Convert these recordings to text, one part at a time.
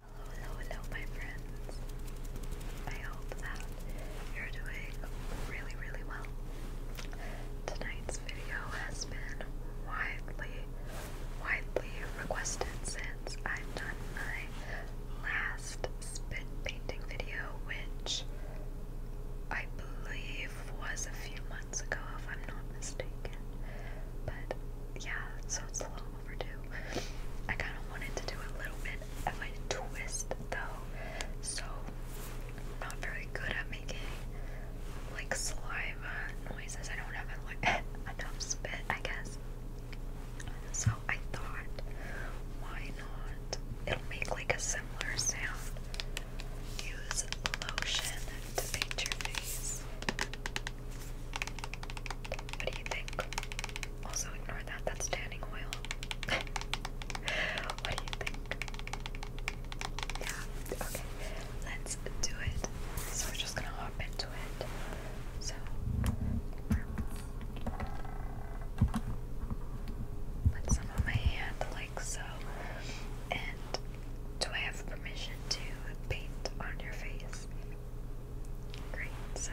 Hello, hello, my friends. I hope that you're doing really, really well. Tonight's video has been widely, widely requested since I've done my last spit painting video, which I believe was a few months ago, if I'm not mistaken. But yeah, so it's a little long I kind of wanted to do a little bit of a twist though, so i not very good at making like saliva noises. I don't have enough spit, I guess. So I thought, why not? It'll make like a similar sound. Use lotion to paint your face. What do you think? Also, ignore that, that's tanning oil. what do you think? Yeah, okay, let's do it. So, we're just gonna hop into it. So, put some on my hand, like so. And do I have permission to paint on your face? Great, so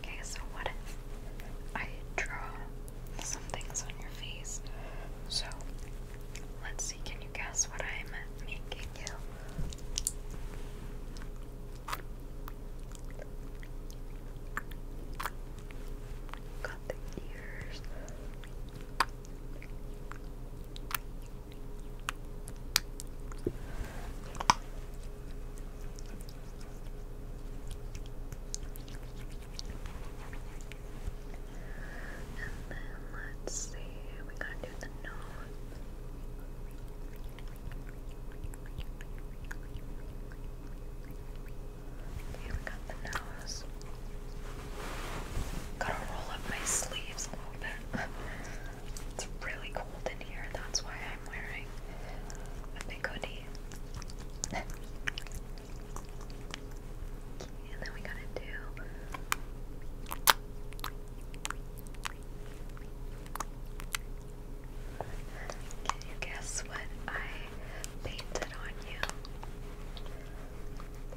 okay, so what if I draw some things on your face? So, let's see, can you guess what I'm making? can do. the ears. And then let's see, we gotta do the nose. Okay, we got the nose. Gotta roll up my sleeves a little bit. it's really cold in here, that's why I'm wearing a big hoodie. and then we gotta do can you guess what I painted on you?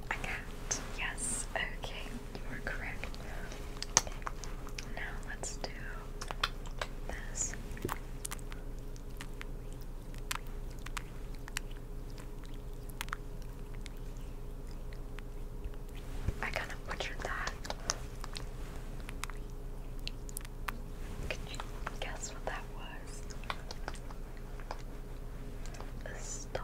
A cat. Yes. Okay, you are correct. Now let's do this. I kind of butchered that. Can you guess what that was? A star.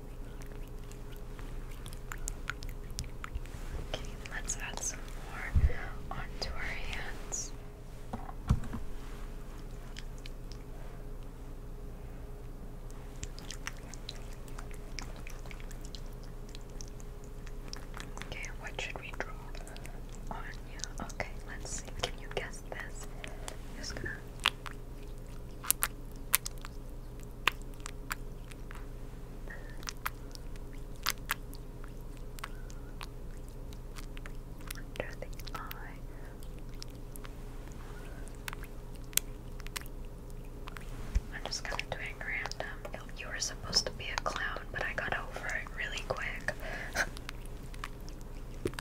Okay, let's add some more onto our hands. Okay, what should we draw on you? Okay, let's see. Can you guess this? Under the eye. I'm just kind of doing random. You were supposed to be a clown, but I got over it really quick.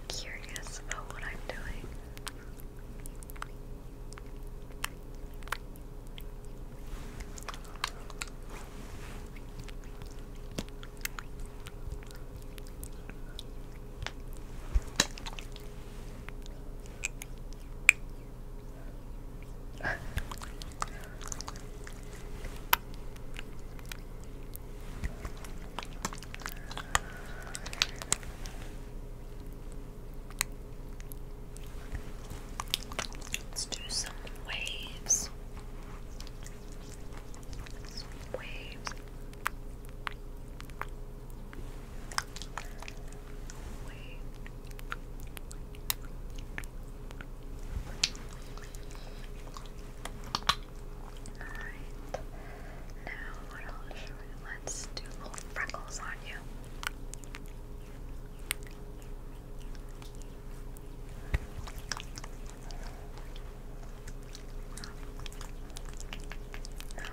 curious about what I'm doing. Let's do some waves. Some waves. Alright. Now what else should we let's do little freckles on you.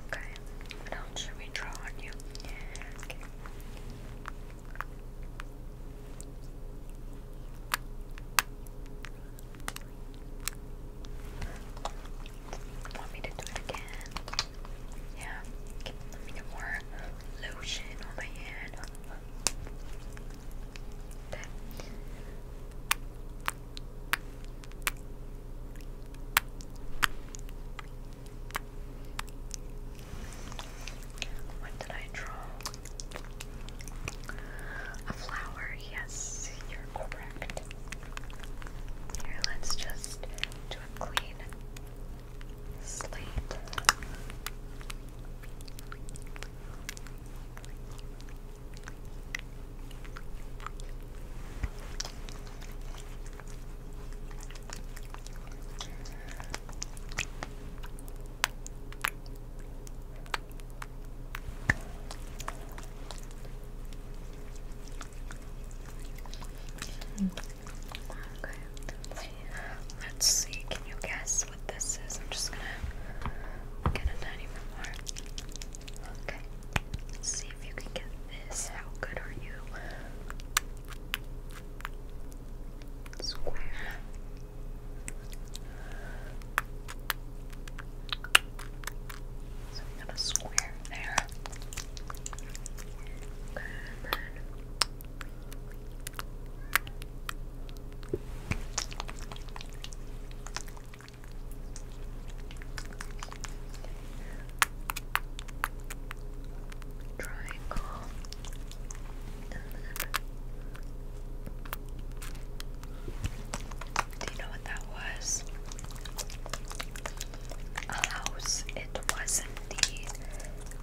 Okay. What else should we draw on you? Want me to do it again? Yeah. let me get more lotion on my hand. Okay. What did I draw? a flower. Yes, you're correct. Here, let's just do a clean slate. Let's see. Can you guess what this is? I'm just gonna get a tiny bit more. Okay. see if you can get this. How good are you? Square. So we got a square there. and then triangle do you know what that was? A house. It was indeed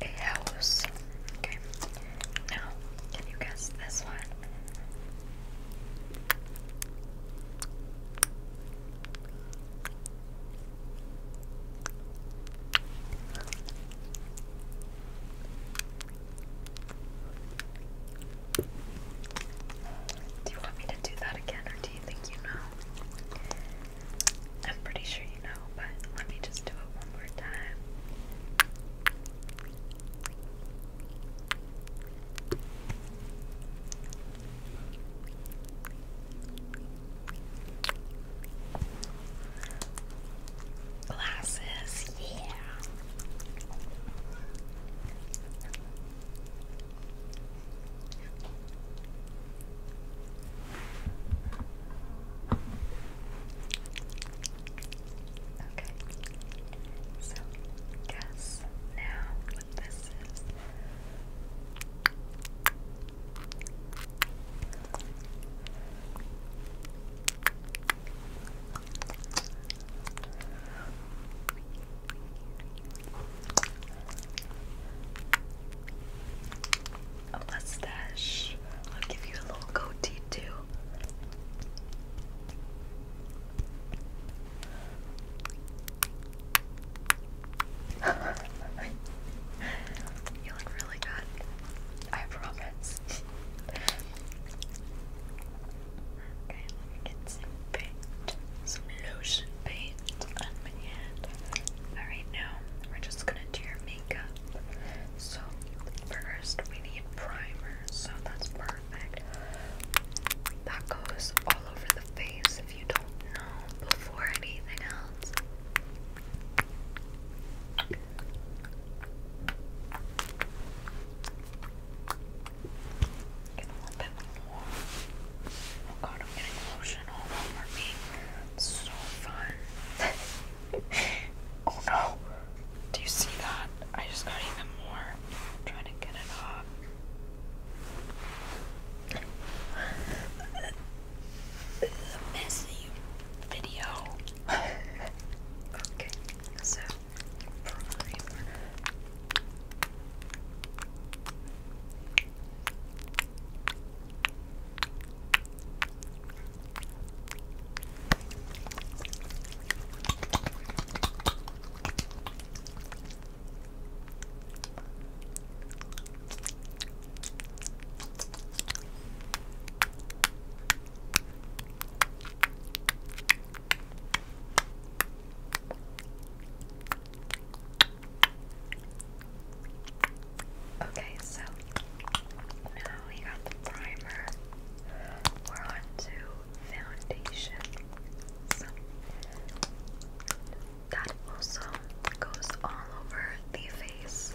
a house. Okay. Now, can you guess this one? Do you want me to do that again, or do you think you know? I'm pretty sure you know, but let me just do it one more time glasses, yeah. Okay, so guess now what this is. A mustache. I'll give you a little goatee too. you look really good. I promise. Okay, let me get some lotion paint on my hand. Alright, now we're just gonna do your makeup. So, first we need primer, so that's perfect. That goes all over the face if you don't know before anything else a little bit more. Oh god, I'm getting lotion all over me. so fun. oh no. Do you see that? I just got even more. trying to get it off. Miss you video okay, so probably Okay, so now we got the primer. We're on to foundation. that also goes all over the face.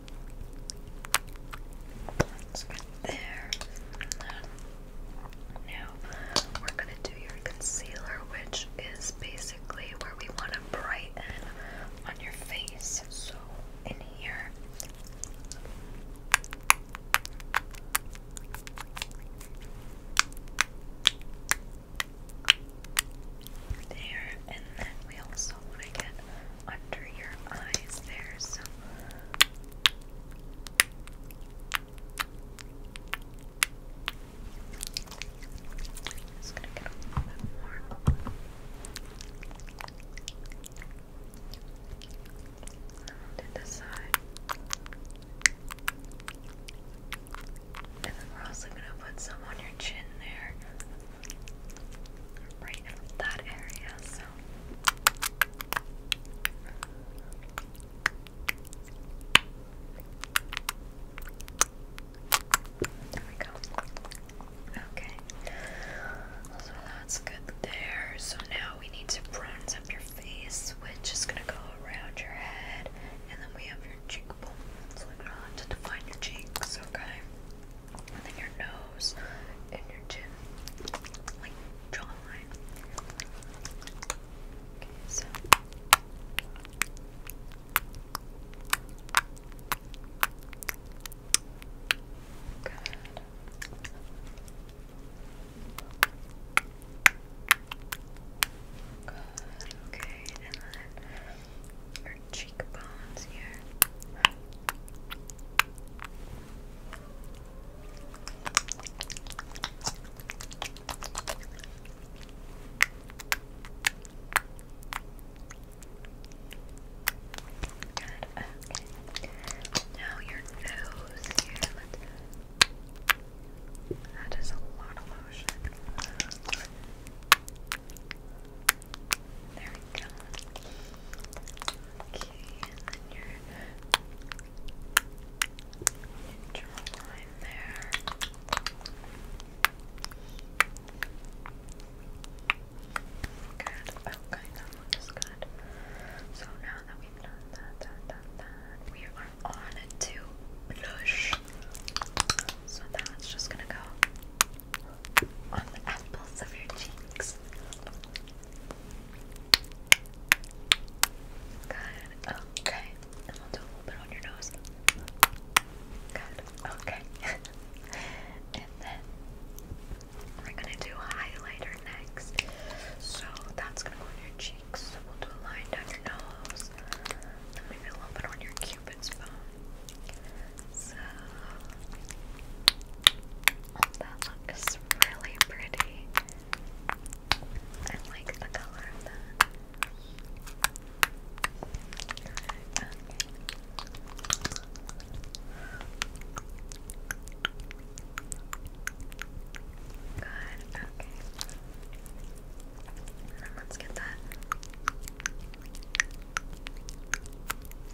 there. And now we're gonna do your concealer, which is basically where we want to brighten on your face. So in here. There, and then we also get under your eyes there, so just gonna get a little bit more. I'll do side. And then we're also gonna put some on your chin there right in that area, so there we go. Okay. So that's good there. So now we need to bronze up your face, which is gonna go around your head, and then we have your cheekbone. So we're going to define your cheeks, okay? and then your nose and your chin, like jawline. Okay, so. Good. Good. Okay, and then our cheekbones here. Good. Now your nose here. is a lot of lotion. There we go. Okay, and then your, your jawline there. Good. Okay, that one good. So now that we've done that, done that, that, we are on to blush. So that's just gonna go on the apples of your cheeks. Good. Okay. And will do a little bit on your nose. Good. Okay. and then we're gonna do highlighter next. So that's gonna go on your cheeks. we'll do a line down your nose. Then maybe a little bit on your cupid. Cupid's bow. So that looks really pretty. I like the color of that. Okay. Good, okay. And let's get that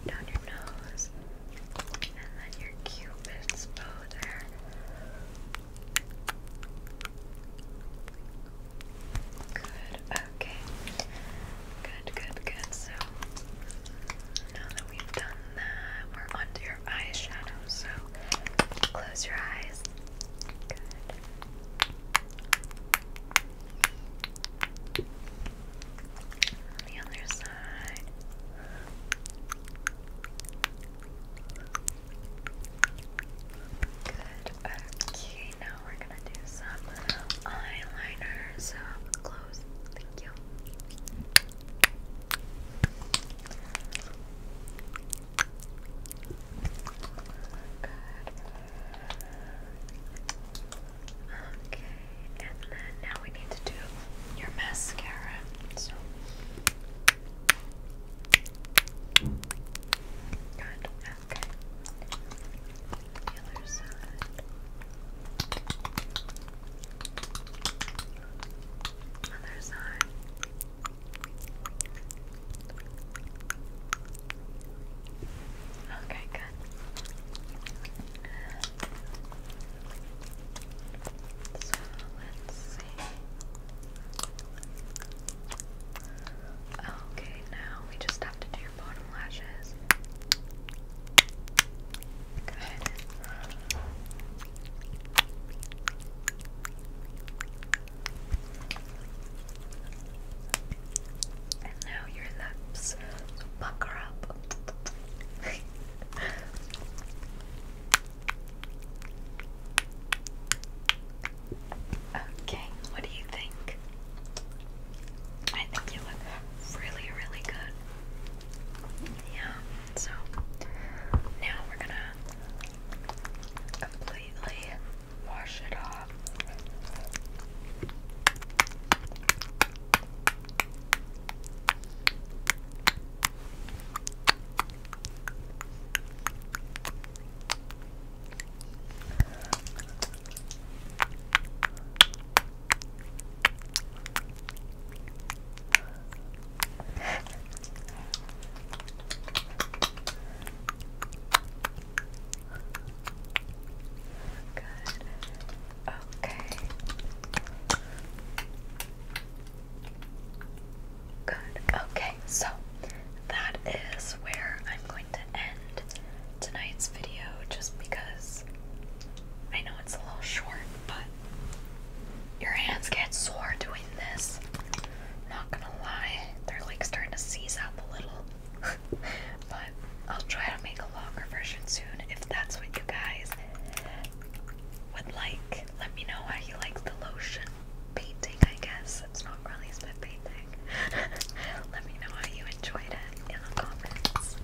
down your nose. And then your cupid's bow Good, okay. Good, good, good. So now that we've done that, we're onto your eyeshadow. So close your eyes. Good. The other side. Good. Okay, now we're gonna do some eyeliner. So close. Thank you. Okay, and then now we need to do your mascara. So good. Okay. The other side. Other side. Okay, good. So let's see. Okay, now we just have to do bottom lashes. Good. And now your lips pucker up. okay, what do you think? I think you look really, really good. Yeah, so now we're gonna completely wash it off. Good. Okay. Good. Okay, so that is where I'm going to end tonight's video just because I know it's a little short, but your hands get sore doing this. Not gonna lie, they're like starting to seize up a little. but I'll try to make a longer version soon if that's what you guys would like. Let me know how you like the lotion painting, I guess. It's not really spit painting. Let me know how you enjoyed it in the comments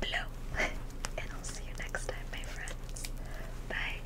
below. and I'll see you next time, my friends. Bye.